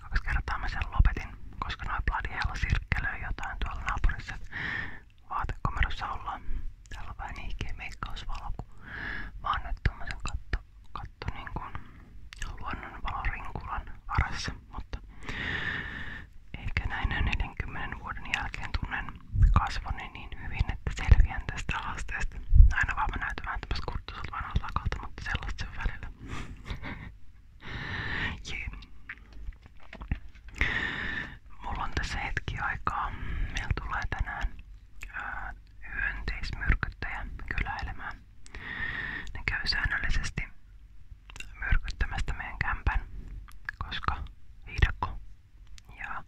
ja kaksi kertaa mä sen lopetin, koska noin Bladiella sirkkelöi jotain tuolla naapurissa. Vaatekomerossa ollaan. Täällä on vähän ihkeä meikkausvalo, kun mä oon nyt tommosen katto, katto niin kuin luonnonvalorinkulan varassa. Mutta ehkä näin 40 vuoden jälkeen tunnen kasvoni niin hyvin, että selviän tästä haasteesta. Aina vaan mä näytän vähän tämmöstä kurttuiselta vanhalta mutta sellaista se on välillä. Yeah. Mulla hetki aikaa. Meillä tänään ää, hyönteismyrkyttäjä kyläilemään. Ne käy säännöllisesti myrkyttämästä meidän kämpän, koska viidakko. Ja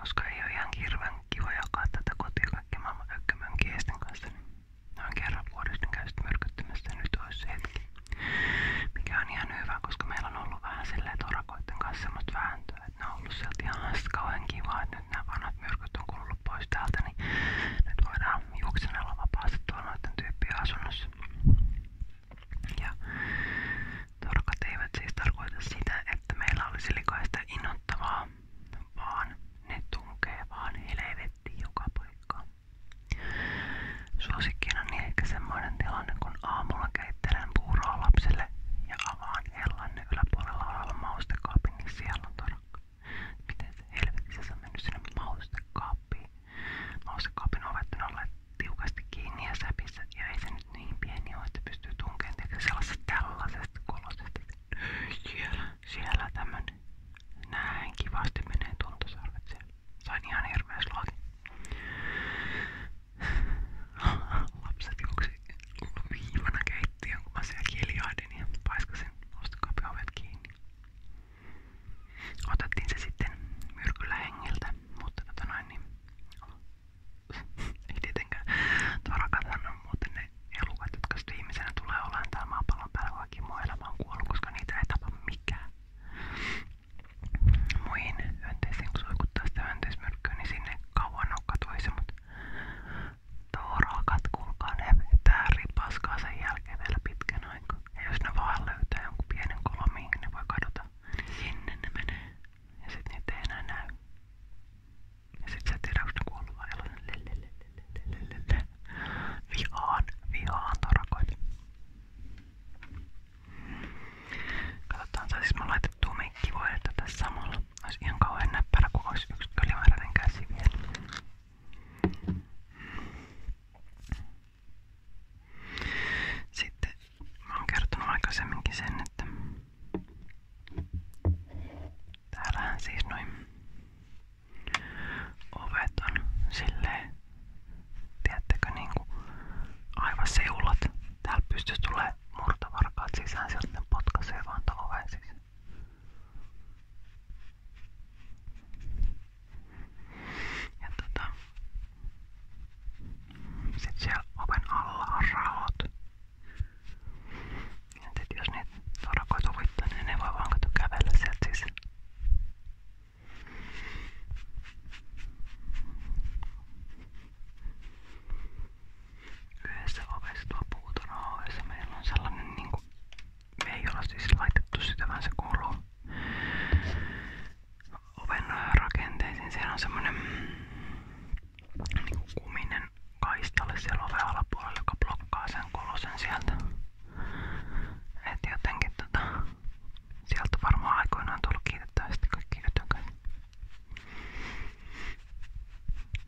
koska ei ole ihan hirveän kiva jakaa tätä kotia kaikki maailman ökkömönkiäisten kanssa, niin Noin kerran vuodesta käy sitten myrkyttämässä nyt olisi se hetki. Mikä on ihan hyvä, koska meillä on ollut vähän silleen torakoiden kanssa semmoista vääntöä, että ne on ollut sieltä ihan kauhean kivaa, että nyt nämä vanhat myrkyt on kulunut pois täältä, niin nyt voidaan juoksenella vapaasti tuolla noiden tyyppien asunnossa. Ja torakat eivät siis tarkoita sitä, että meillä olisi likaista innoittavaa, vaan ne tunkee vaan helvettiin joka paikkaan. Suosikkina niin ehkä semmoinen tilanne, kun aamulla keittelen puuroa lapsille ja avaan hellanne yläpuolella olevan maustekaapin, niin siellä on torakka. Miten se helvetissä se on mennyt sinne maustekaappiin? Maustekaapin ovet on olleet tiukasti kiinni ja säpissä, ja ei se nyt niin pieni ole, että pystyy tunkeen tekemään sellaisesta tällaisesta kolosesta. Siellä, siellä tämmönen. Näin kivasti menee tuntosarvet siellä. Sain ihan hirveä slogi. Lapset juoksi viivana keittiön, kun mä siellä kiljahdin ja paiskasin ostokaapi ovet kiinni. Otettiin se sitten myrkyllä hengiltä, mutta tota noin niin... Ei tietenkään. Tuo rakatahan on muuten ne elukat, jotka sitten ihmisenä tulee olemaan täällä maapallon päällä, vaikka muu elämä on kuollut, koska niitä ei tapa mikään. Muihin hyönteisiin, kun suikuttaa sitä hyönteismyrkkyä, niin sinne kauan on katoisi, mutta toorakat, kuulkaa ne vetää ripaskaa sen jälkeen vielä pitkän aikaa. Ja jos ne vaan löytää jonkun pienen kolon, mihin niin ne voi kadota, niin sinne ne menee. Ja sit niitä ei enää näy. Ja sit sä tiedät, onko ne kuollut vai eloinen. Vihaan, vihaan torakoita. Katsotaan, saisimme laitettua meikkivoidetta tässä samalla. Olisi ihan kauhean näppärä, kun olisi yksi ylimääräinen käsi vielä. Sitten mä oon kertonut aikaisemminkin sen, että täällähän siis noin Ovet on silleen, tiedättekö, niinku aivan seulat. Täällä pystyisi tulee murtavarkaat sisään, sieltä potkaisee vaan tuon oven sisään. Ja tota, sit siellä oven alla on raot. Entä jos niitä orakoita huvittaa, niin ne voi vaan kato kävellä sieltä sisään. Yhdessä ovessa tuo puutarha ovessa meillä on sellainen niinku, siis laitettu sitä, vaan se kuuluu oven rakenteisiin. Siellä on semmonen mm, niinku kuminen toiseen kaistalle siellä oven alapuolella, joka sen sieltä. Et jotenkin tota, sieltä varmaan aikoinaan tullut kiitettävästi kaikki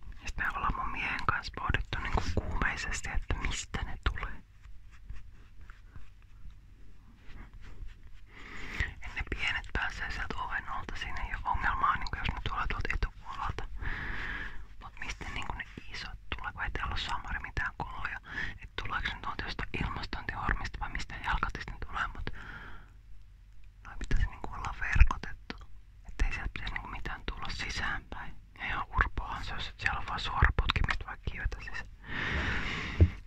Ja me ollaan mun kanssa pohdittu niinku kuumeisesti, että mistä ne tulee. ne pienet pääsee sieltä oven alta, siinä ei ole ongelmaa, niin jos ne tulee tuolta etu puolelta. Mut mistä niinku ne isot, tuleeko ei täällä samari mitään kuluja? Et tuleeko se nyt jostain ilmastointihormista vai mistä jalkatisten tulee, mut noi pitäisi niinku olla verkotettu. Ettei sieltä pitäisi niinku mitään tulla sisäänpäin. Ja ihan urpoahan se jos et siellä on vaan suora putkimista vai kivetä siis.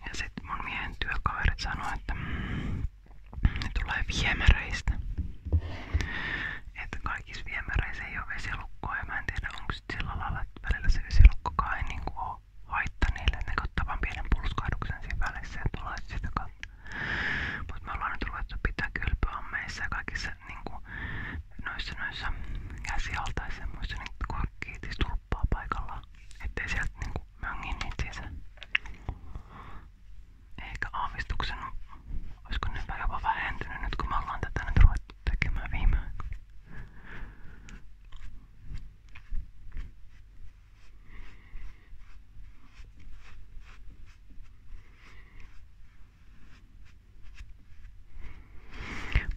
Ja sit mun miehen työkaverit sanoi, että mm, ne tulee viemäreistä. Että kaikissa viemäreissä ei ole vesilukkoa ja mä en tiedä onko sillä lailla, että välillä se vesilukkokaan ei niinku oo haitta niille. Ne ottaa vaan pienen pulskahduksen siinä välissä ja tulee sitä kautta. Mut me ollaan nyt ruvettu pitää kylpyammeissa ja kaikissa niinku noissa noissa käsialtaissa semmoissa niin korkkiitis tulppaa paikallaan. Ettei sieltä niinku möngin niitä sisään ehkä aavistuksen, olisiko ne jopa vähentynyt nyt kun me ollaan tätä nyt ruvettu tekemään viime aikoina.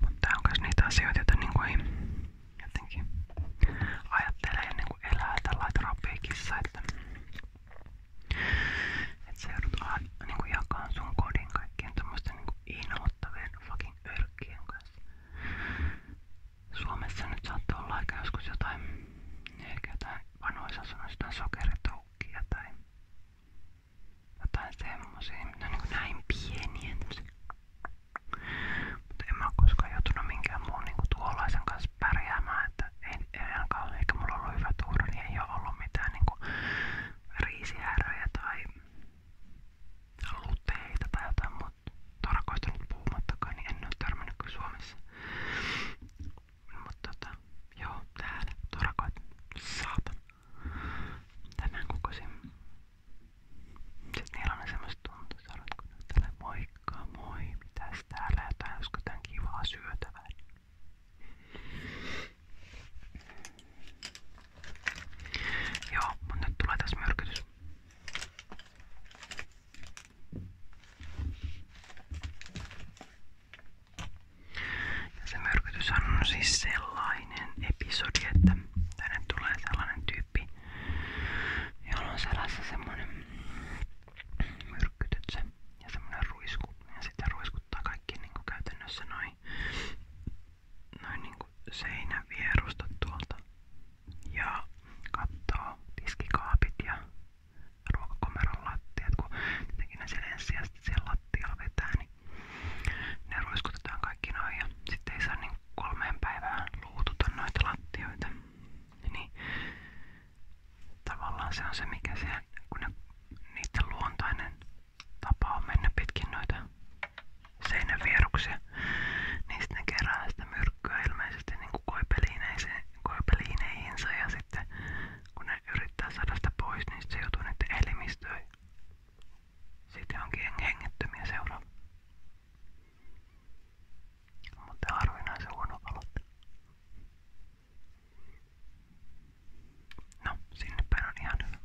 Mutta tää on myös niitä asioita, joita niinku ei jotenkin ajattele ennen kuin elää tällä terapia kissa, että että sä joudut aina niinku jakamaan sun kodin kaikkien tämmösten niinku inhottavien fucking örkkien kanssa. Suomessa nyt saattaa olla aika joskus jotain, ehkä jotain vanhoissa sanoissa jotain sokeritoukkia tai jotain semmosia, mitä on niinku näin pieniä tämmösiä. Mutta en mä oo koskaan joutunut minkään muun niinku tuollaisen kanssa pärjäämään, että ei ainakaan eikä mulla ollut hyvä tuura, niin ei ole ollut mitään niinku riisihäröjä tai luteita tai jotain muuta tarkoittanut puhumattakaan, niin en ole törmännyt kuin Suomessa. Mutta tota, joo, täällä torakoit. Saatana. Tänään kokosin. Sitten niillä on ne semmoset tuntuisarat, kun ne täällä moi Moikka moi, mitäs täällä jotain, olisiko tän kivaa syötävää? Joo, mutta nyt tulee tässä myrkytys. Ja se myrkytys on siis sellainen episodi, että tänne tulee sellainen tyyppi, jolla on sellainen semmonen myrkkyt, se, ja semmonen ruisku. Ja sitten ruiskuttaa kaikki niinku käytännössä noin noin niinku seinän vierusta tuolta. Ja kattoo tiskikaapit ja ruokakomeron lattiat, kun tietenkin ne siellä ensisijaisesti siellä lattialla vetää, niin ne ruiskutetaan kaikki noin ja sitten ei saa niin kolmeen päivään luututa noita lattioita. Niin Tavallaan se on se, mikä se, kun ne, niiden luontainen tapa on mennä pitkin noita seinän vieruksia, niin sitten ne kerää sitä myrkkyä ilmeisesti niin koipeliineihinsä ja sitten kun ne yrittää saada pois, niin se joutuu niiden elimistöön. Siitä onkin hengettömiä seuraa mutta harvinaisen huono aloittaa. No, sinne päin on ihan hyvä.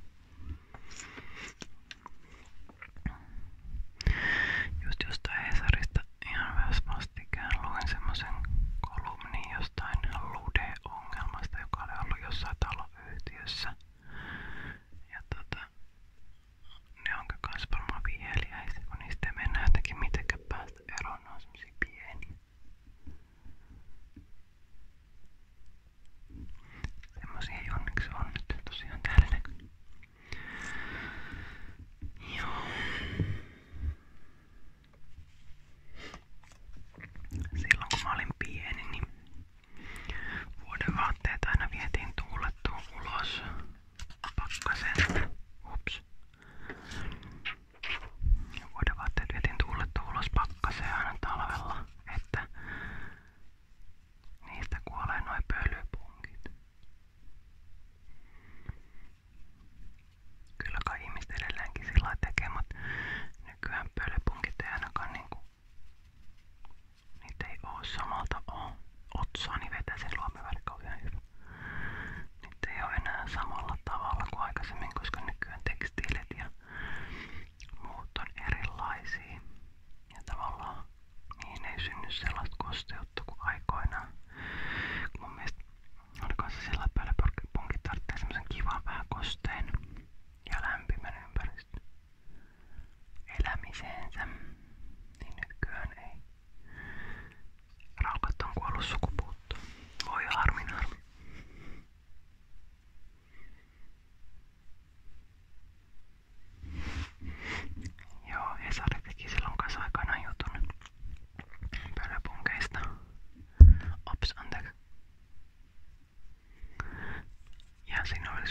Just jostain Hesarista ihan myös vastikään luin semmosen kolumnin jostain Lude-ongelmasta, joka oli ollut jossain taloyhtiössä. Ja tota, ne onko kans varmaan viheliäisiä, kun niistä ei mennä eroon, ne on semmosia onneksi on nyt tosiaan täällä näkyy. vuoden vaatteet aina vietiin tuulettuun ulos pakkaseen. Ups. Vuodenvaatteet vietin tuuletta ulos pakkaseen aina talvella, että niistä kuolee noin pölypunkit. Kyllä kai ihmiset edelleenkin sillä tekee, mutta nykyään pölypunkit ei ainakaan niinku Niitä ei oo samalta oo. Otsani niin vetää sen luomiväri kauhean hyvä. Niitä ei oo enää samalla tavalla kuin aikaisemmin, koska nykyään tekstiilit ja muut on erilaisia. Ja tavallaan niihin ei synny sellaista kosteutta kuin aikoinaan. Mun mielestä oliko se sillä päällä punkki tarvitsee semmosen kivan vähän kosteen ja lämpimän ympäristön elämiseensä, niin nykyään ei. Raukat on Voi harmin Joo, Hesari teki silloin kanssa aikanaan Ops, anteeksi. Ja siinä oli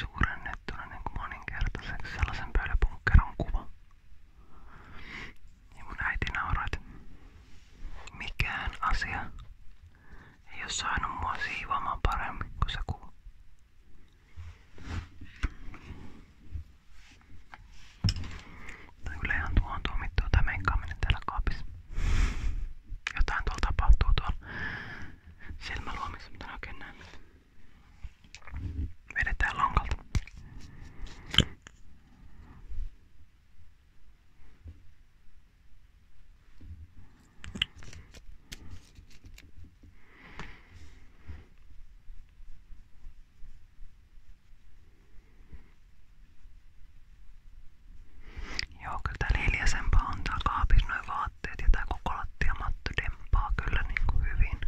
kohennettuna niin kuin moninkertaiseksi sellaisen pölypunkkeron kuva. Ja mun äiti nauroi, että mikään asia ei oo saanut mua siivoamaan paremmin kuin se kuva. Tai yleenhan tuo on tuomittu tai meikkaaminen täällä kaapissa. Jotain tuolla tapahtuu tuolla silmäluomissa, mutta en oikein näe mitään. Vedetään lankalta. Joo, kyllä tää hiljaisempaa on tää kaapis noin vaan vaatteet ja tää koko lattiamatto dempaa kyllä niinku hyvin.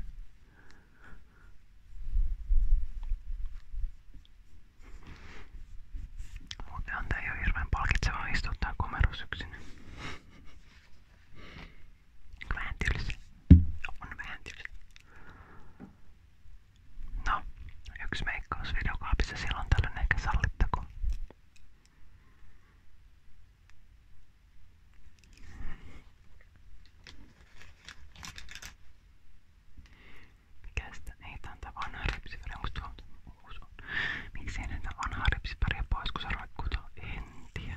Muutenhan tää ei oo hirveen palkitsevaa istua tää komeros yksin. Vähän tylsä. On vähän tylsä. No, yksi meikkausvideokaapissa silloin tällöin ehkä sallittako. Mikäs tää? Ei tää on tää vanha ripsiväri. Onks tuo uusi? Miksei näitä vanhaa ripsiväriä pois kun se roikkuu tuolla? En tiedä.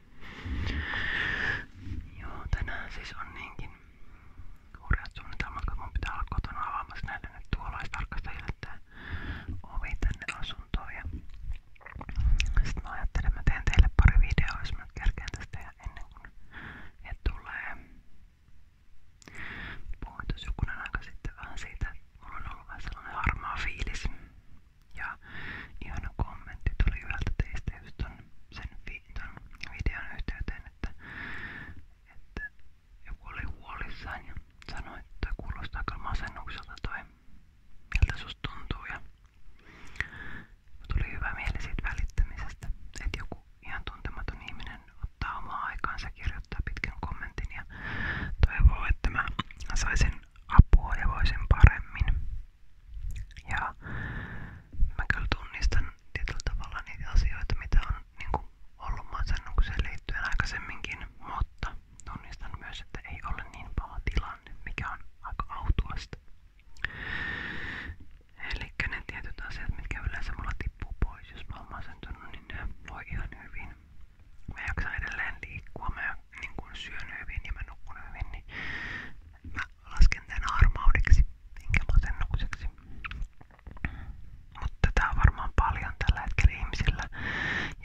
Joo, tänään siis on niinkin hurjat suunnitelmat, kun mun pitää olla kotona avaamassa näille nyt tuolaistarkastajille tää ovi tänne asuntoon. Ja sitten mä ajattelin, että mä teen teille pari videoa, jos mä kerkeen tästä ja ennen kuin he tulee. Puhuin tuossa jokunen aika sitten vähän siitä, että mulla on ollut vähän sellainen harmaa fiilis. Ja ihana kommentti tuli yhdeltä teistä just ton, sen vi, ton videon yhteyteen, että, että joku oli huolissaan ja sanoi, että kuulostaa kyllä masennukselta toi, miltä susta tuntuu. Ja tuli hyvä mieli siitä välittämisestä, että joku ihan tuntematon ihminen ottaa omaa aikaansa kirjoittaa pitkän kommentin ja toivoo, että mä saisin apua ja voisin paremmin. Ja mä kyllä tunnistan tietyllä tavalla niitä asioita, mitä on niin ollut masennukseen liittyen aikaisemminkin, mutta tunnistan myös, että ei ole niin paha tilanne, mikä on aika autuasta. Eli ne tietyt asiat, mitkä yleensä mulla tippuu pois, jos mä oon masentunut, niin ne voi ihan hyvin. Mä jaksan edelleen liikkua, mä niin syön hyvin ja mä nukun hyvin, niin mä lasken tän harmaudeksi, minkä masennukseksi. Mutta tää on varmaan paljon tällä hetkellä ihmisillä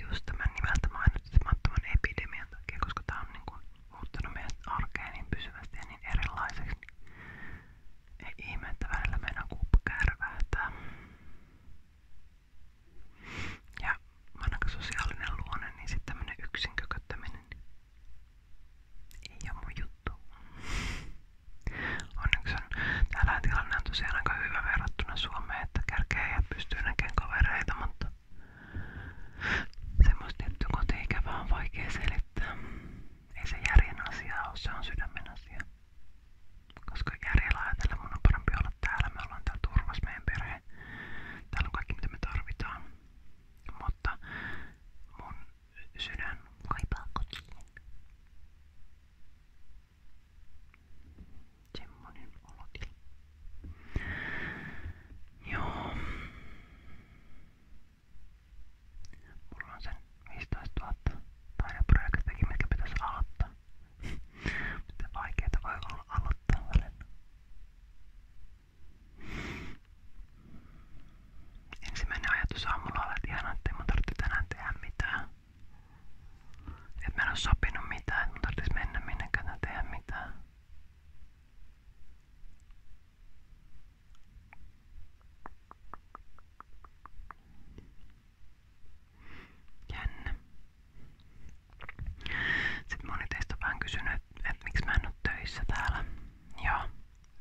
just tämän nimeltä mainitsemattoman epidemian takia, koska tää on niinku muuttanut meidän arkea niin pysyvästi ja niin erilaiseksi. Ei ihme, että välillä meidän kuuppa kärvähtää. Ja ainakaan sosiaalinen luonne, niin sitten tämmönen yksin kököttäminen niin ei oo mun juttu. Onneksi on, täällä tilanne on tosiaan aika hyvä verrattuna Suomeen, että kärkeä ja pystyy näkemään kavereita, mutta semmoista tiettyä kotiikävää on vaikea selittää. Ei se järjen asia ole, se on sydämen asia. Koska järjellä ajatella mun on parempi olla täällä, me ollaan täällä turvassa meidän perhe tulee. Täällä on kaikki mitä me tarvitaan. Mutta mun sydän kaipaa kotiin. Semmonen olotila. Joo. Mulla on sen 15 000 taideprojektiakin, mitkä pitäisi aloittaa. Miten vaikeeta voi olla aloittaa välillä. Ensimmäinen ajatus aamulla oli, että ihanaa, ettei mun tarvitse tänään tehdä mitään. Et mä en oo sopinut mitään, et mun tarvitsisi mennä minnekään tai tehdä mitään. Jännä. Sitten moni teistä on vähän kysynyt, että et miksi mä en ole töissä täällä. Ja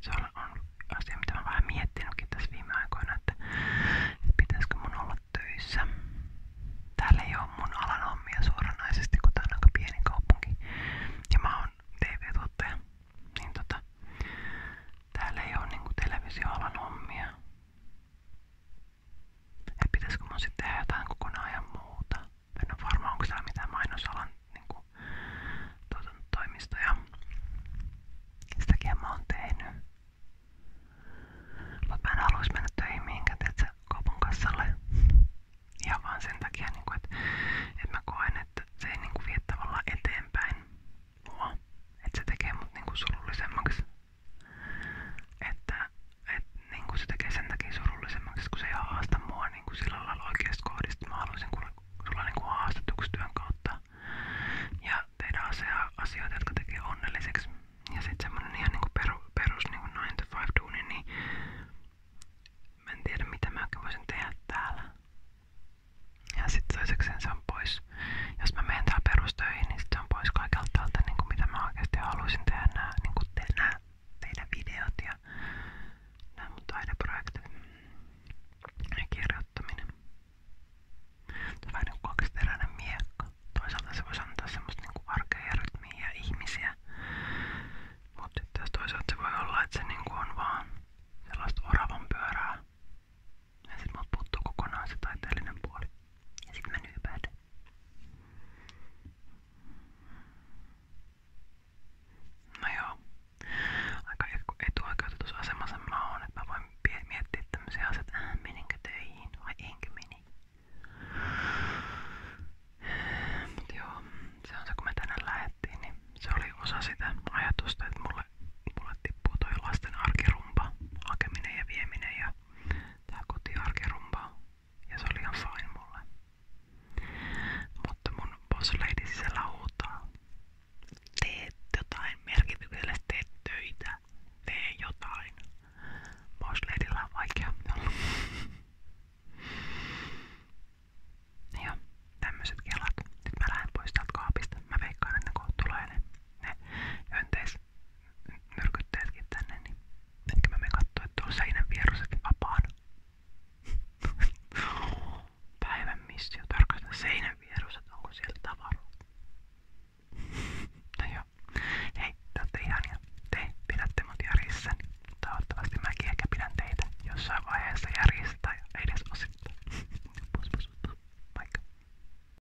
se on, on asia, mitä mä vähän miettinytkin tässä viime aikoina, että, että pitäisikö mun olla töissä. Täällä ei ole mun alan hommia suoranaisesti, kun tää on aika pieni kaupunki. Ja mä oon TV-tuottaja. Niin tota, täällä ei ole niinku televisioalan hommia. Että pitäisikö sitten tehdä jotain kokonaan muuta. En ole varma, onko täällä mitään mainosalan niin kuin, tuota, toimistoja. Sitäkin mä oon tehnyt. Mut mä mennä töihin mihinkään, tiedätkö, kaupan kassalle. Ihan vaan sen takia, niin kuin, että, että mä koen, että se ei niin kuin, vie tavallaan eteenpäin mua. Että se tekee mut niin kuin, surullisemmaksi. Että et, niin se tekee sen takia surullisemmaksi, kun se ei haasta niin kuin sillä lailla oikeasta kohdista. Mä haluaisin kuulla sulla niin haastatuksi työn ja tehdä asioita, jotka tekee onnelliseksi. Ja sitten semmonen ihan niinku peru, perus niinku 9-5 duuni, niin mä en tiedä mitä mä tehdä täällä. Ja sitten se on pois. Jos mä menen täällä perustöihin, niin tämän pois kaikelta tältä, niin kuin mitä mä oikeasti haluaisin tehdä nämä, niin kuin te, nämä teidän videot ja nämä mun taideprojektit ja kirjoittaminen. Tämä on vähän niin kuin kaksiteräinen miekka. Toisaalta se voisi antaa semmoista niin kuin arkea ja rytmiä ja ihmisiä. Mutta taas toisaalta se voi olla, että se niin kuin on vaan sellaista oravan pyörää. Ja sit mut puuttuu kokonaan se taiteellinen puoli. Ja sit mä nyypäät. No joo. Aika etuoikeutetussa asemassa mä oon, että mä voin miettiä tämmösiä asioita, että äh, meninkö vai enkö meni. Mut joo, se on se kun me tänään niin se oli osa sitä ajatusta, että mulle, mulle tippuu toi lasten arkirumpa, hakeminen ja vieminen ja tää kotiarkirumba ja se oli ihan fine mulle. Mutta mun boss lady siellä huutaa. Teet jotain merkityksellistä, teet töitä, tee jotain. Boss ladylla on vaikea olla. ja tämmöiset kelat. Nyt mä lähden pois täältä kaapista. Mä veikkaan, että ne kohta tulee ne, ne myrkyttäjätkin tänne, niin ehkä mä menen katsoa, että on seinän vieressäkin vapaana. Päivän missio tarkastaa seinän vieressä, että onko siellä tavaraa. No joo. Hei, te ootte ihania. Te pidätte mut järjissäni. Niin toivottavasti mäkin ehkä pidän teitä jossain vaiheessa järjessä tai edes osittain. Pus, pus, pus. Moikka.